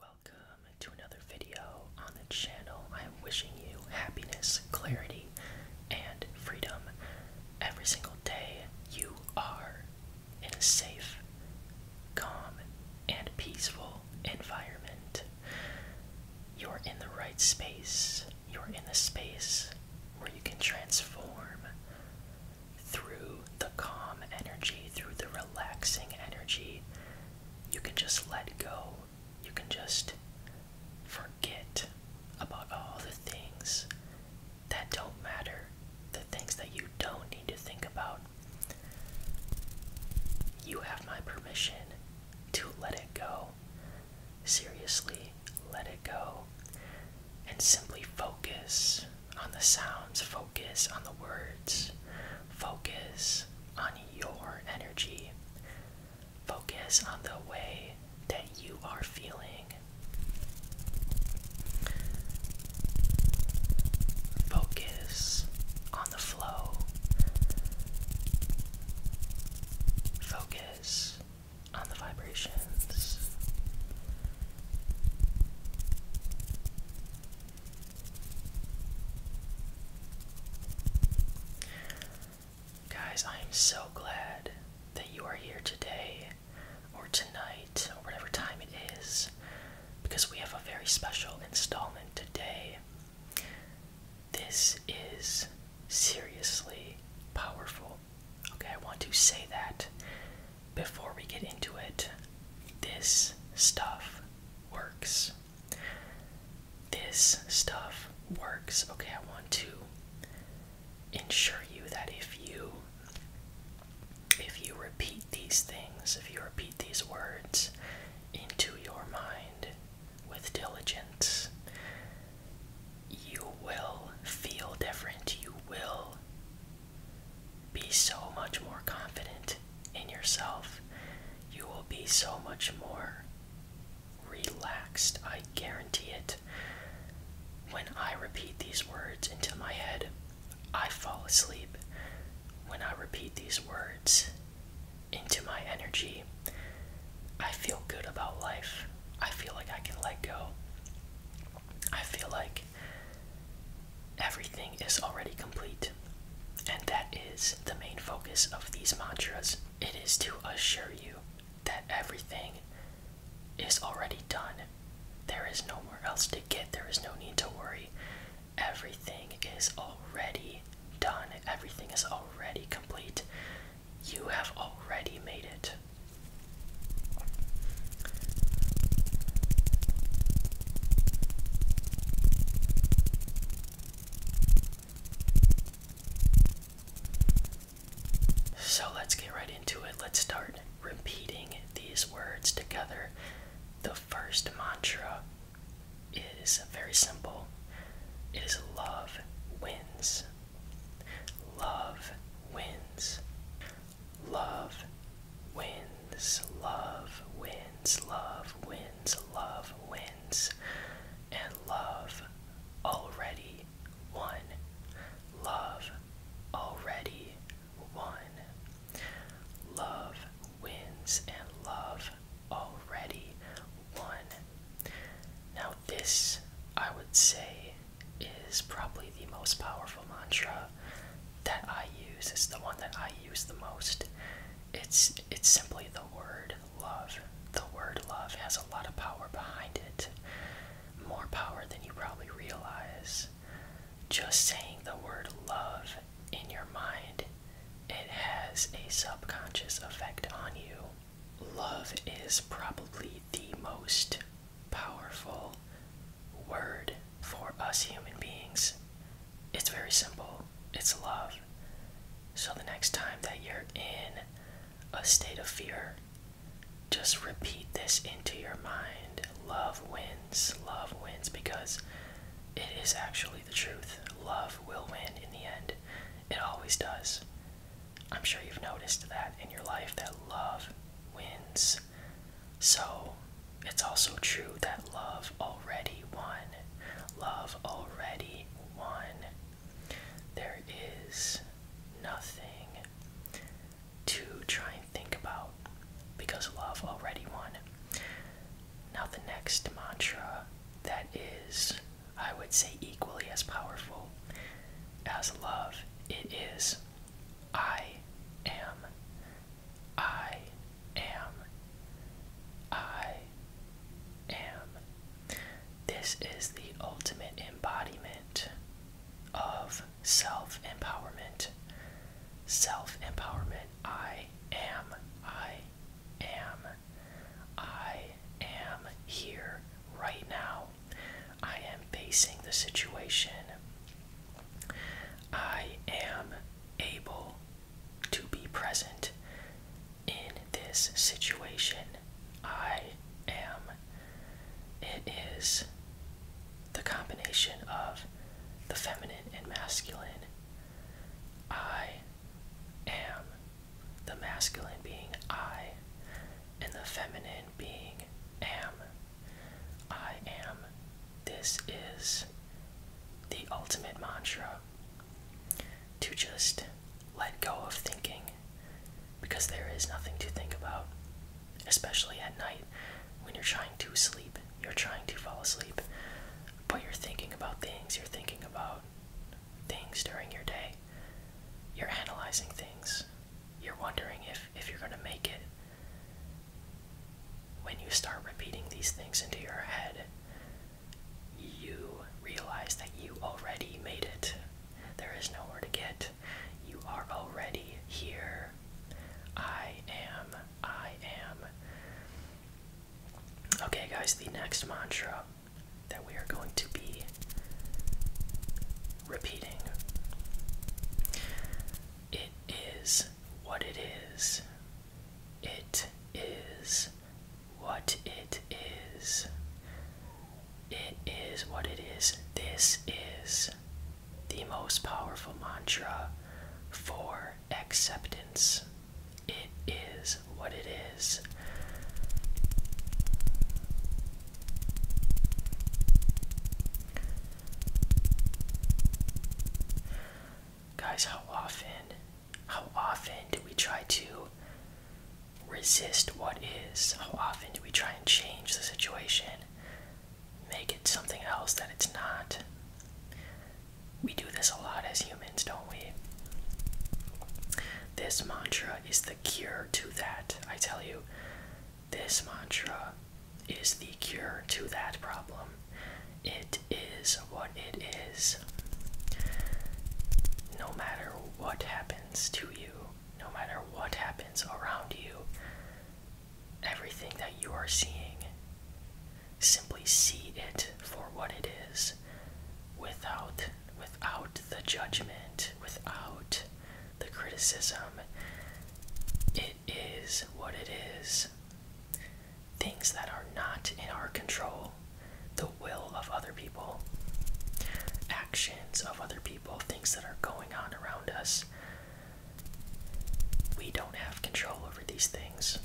Welcome to another video on the channel. I'm wishing you happiness, clarity, and freedom every single day. You are in a safe, calm, and peaceful environment. You're in the right space. You're in the space where you can transform through the calm energy, through the relaxing energy, you can just let go. You can just forget about all the things that don't matter, the things that you don't need to think about. You have my permission to let it go. Seriously, let it go. And simply focus on the sounds, focus on the words, focus on your energy, focus on the way that you are feeling. Focus on the flow. Focus on the vibrations. Guys, I am so glad that you are here today or tonight or whatever time it is because we have a very special installment today. This is seriously powerful. Okay, I want to say that before we get into it. This stuff works. This stuff works. Okay, I want to ensure you that if you if you repeat these things, if you repeat these words into your mind with diligence, you will feel different. You will be so much more confident in yourself. You will be so much more relaxed. I guarantee it. When I repeat these words into my head, I fall asleep. When I repeat these words into my energy, I feel good about life. I feel like I can let go. I feel like Everything is already complete, and that is the main focus of these mantras. It is to assure you that everything is already done. There is nowhere else to get, there is no need to worry. Everything is already done, everything is already complete. You have already made it. So let's get right into it. Let's start repeating these words together. The first mantra is very simple it is love wins. Love wins. Love wins, love wins, love wins, love wins, and love already won. Love already won. Love wins, and love already won. Now, this I would say is probably the most powerful mantra that I use. is the one that I use the most. It's it's simply the word love. The word love has a lot of power behind it. More power than you probably realize. Just saying the word love in your mind, it has a subconscious effect on you. Love is probably the most powerful word for us human beings. It's very simple. It's love. So the next time that you're in a state of fear, just repeat this into your mind. Love wins. Love wins because it is actually the truth. Love will win in the end. It always does. I'm sure you've noticed that in your life that love wins. So it's also true that love already won. Love already won. There is nothing to try and think about because love already won. Now, the next mantra that is, I would say, equally as powerful as love, it is I am. I am. I am. This is the ultimate embodiment of self empowerment. Self empowerment. I am. I am. I am here right now. I am facing the situation. I am able to be present in this situation I am. It is the combination of the feminine and masculine. I am. The masculine being I, and the feminine being am. I am. This is the ultimate mantra to just let go of thinking because there is nothing to think about, especially at night when you're trying to sleep, you're trying to fall asleep, but you're thinking about things, you're thinking about things during your day, you're analyzing things, you're wondering if, if you're going to make it when you start repeating these things into your head, you realize that you already made it. There is nowhere to get. You are already here. I am. I am. Okay, guys, the next mantra that we are going to be repeating it is what it is it is what it is. It is what it is. This is the most powerful mantra for acceptance. It is what it is. Guys, how often, how often do we try to resist what is? How often do we try and change the situation? Make it something else that it's not? We do this a lot as humans, don't we? This mantra is the cure to that, I tell you. This mantra is the cure to that problem it is what it is. No matter what happens to you, no matter what happens around you, everything that you are seeing, simply see it for what it is without without the judgment, without the criticism. It is what it is things that are not in our control, the will of other people, actions of other people, things that are going on around us. We don't have control over these things.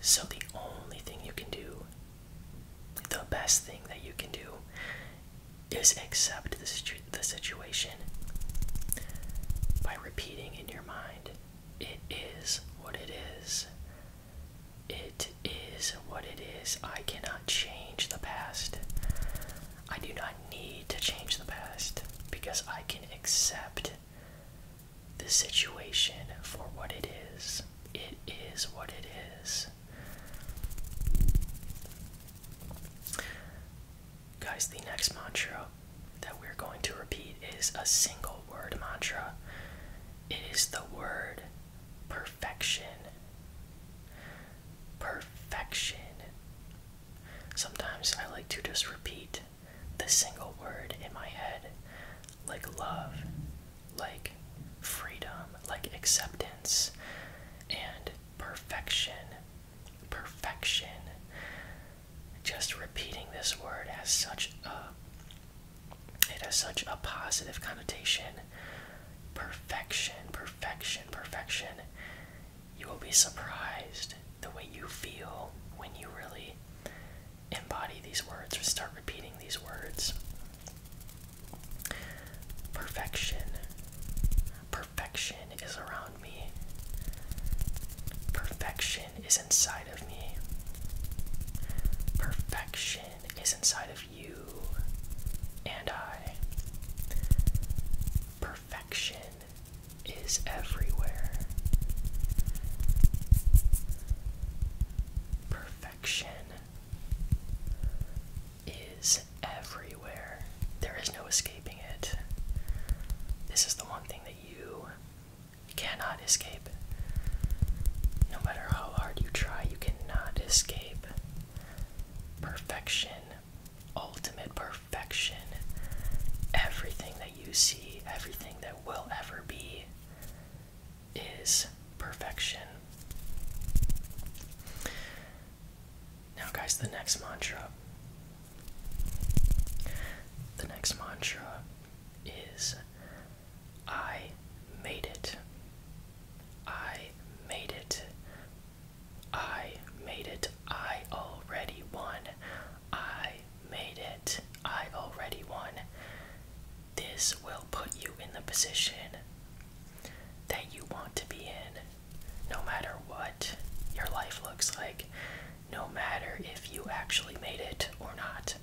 So, the only thing you can do, the best thing that you can do, is accept the, situation by repeating in your mind it is what it is. It is what it is. I cannot change the past. I do not need to change the past because I can accept the situation for what it is. It is what it is. Guys, the next mantra that we're going to repeat is a single word mantra. It is the word perfection. Perfection. Sometimes I like to just repeat the single word in my head, like love, like freedom, like acceptance, and perfection. Perfection just repeating this word has such a it has such a positive connotation. Perfection, perfection, perfection. You will be surprised the way you feel when you really embody these words or start repeating these words. Perfection. Perfection is around Perfection is inside of me. Perfection is inside of you and I. Perfection is everywhere. Perfection is everywhere. There is no escaping it. This is the one thing that you you cannot escape. No matter how hard you try, you cannot escape. Perfection, ultimate perfection, everything that you see, everything that will ever be is perfection. Now, guys, the next mantra the next mantra is I made it. I made it. I made it. I already won. I made it. I already won. This will put you in the position that you want to be in. No matter what your life looks like, no matter if you actually made it or not.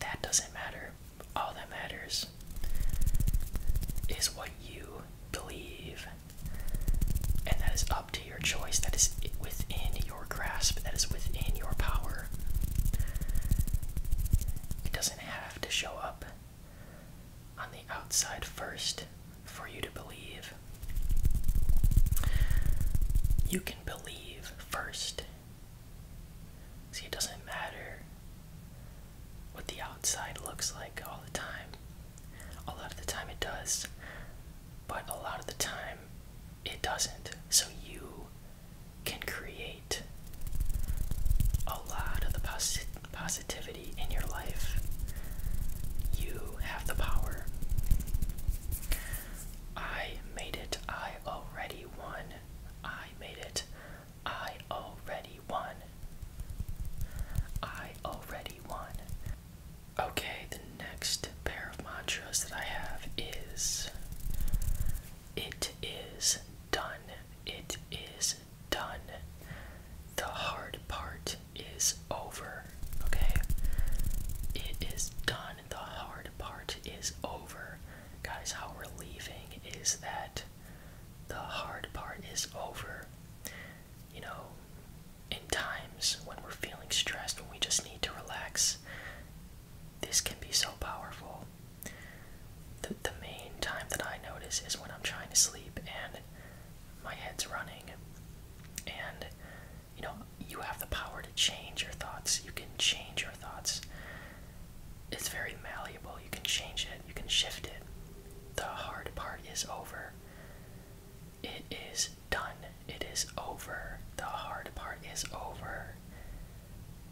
That doesn't matter. All that matters is what you believe. And that is up to your choice. That is within your grasp. That is within your power. It doesn't have to show up on the outside first for you to believe. You can believe first. See, it doesn't matter what the outside looks like all the time. A lot of the time it does, but a lot of the time it doesn't. So you can create a lot of the posit positivity in your life. You have the power. I made it. I already won. I made it. I already won. I already won. Okay, the next pair of mantras that I have is It is done. It is done. The hard part is over. Okay? It is done. The hard part is over. Guys, how relieving is that? The hard part is over. You know, in times when we're feeling stressed, when we just need to relax, this can be so powerful. The, the main time that I notice is when I'm trying to sleep and my head's running. And you know you have the power to change your thoughts you can change your thoughts it's very malleable you can change it you can shift it the hard part is over it is done it is over the hard part is over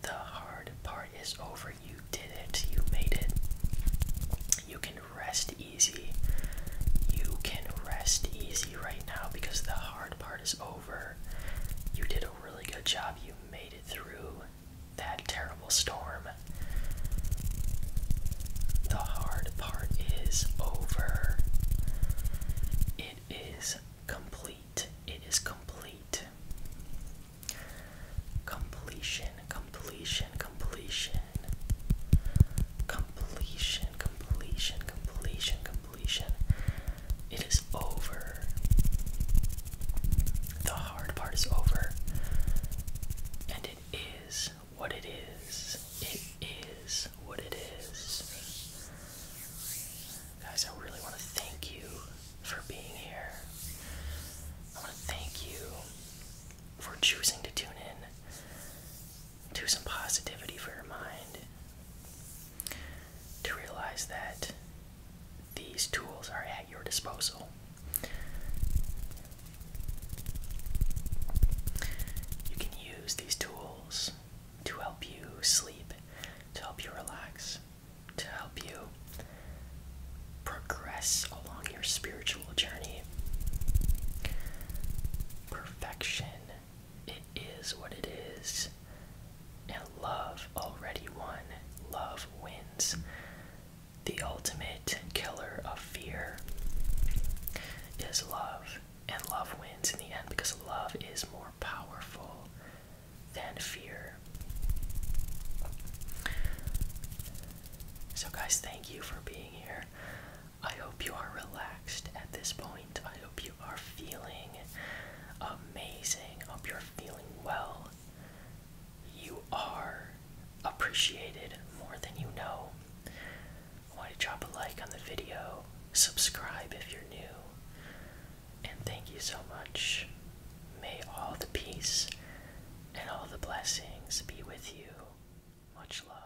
the hard part is over you did it you made it you can rest easy you can rest easy right now because the hard part is over. You did a really good job. You made it through that terrible storm. The hard part is over. It is complete. It is complete. completion, completion. Completion, completion, completion, completion. It is over. The hard part is over. And it is what it is. It is what it is. Guys, I really want to thank you for being here. I want to thank you for choosing to tune in. To some positivity for your mind to realize that these tools are at your disposal. You can use these tools to help you sleep, to help you relax, to help you progress along your spiritual journey. Perfection it is what it is. And love already won. Love wins. The ultimate killer of fear is love. And love wins in the end because love is more powerful than fear. So, guys, thank you for being here. I hope you are relaxed at this point. I hope you are feeling amazing. I hope you're feeling well. You are appreciated more than you know. I want to drop a like on the video, subscribe if you're new, and thank you so much. May all the peace and all the blessings be with you. Much love.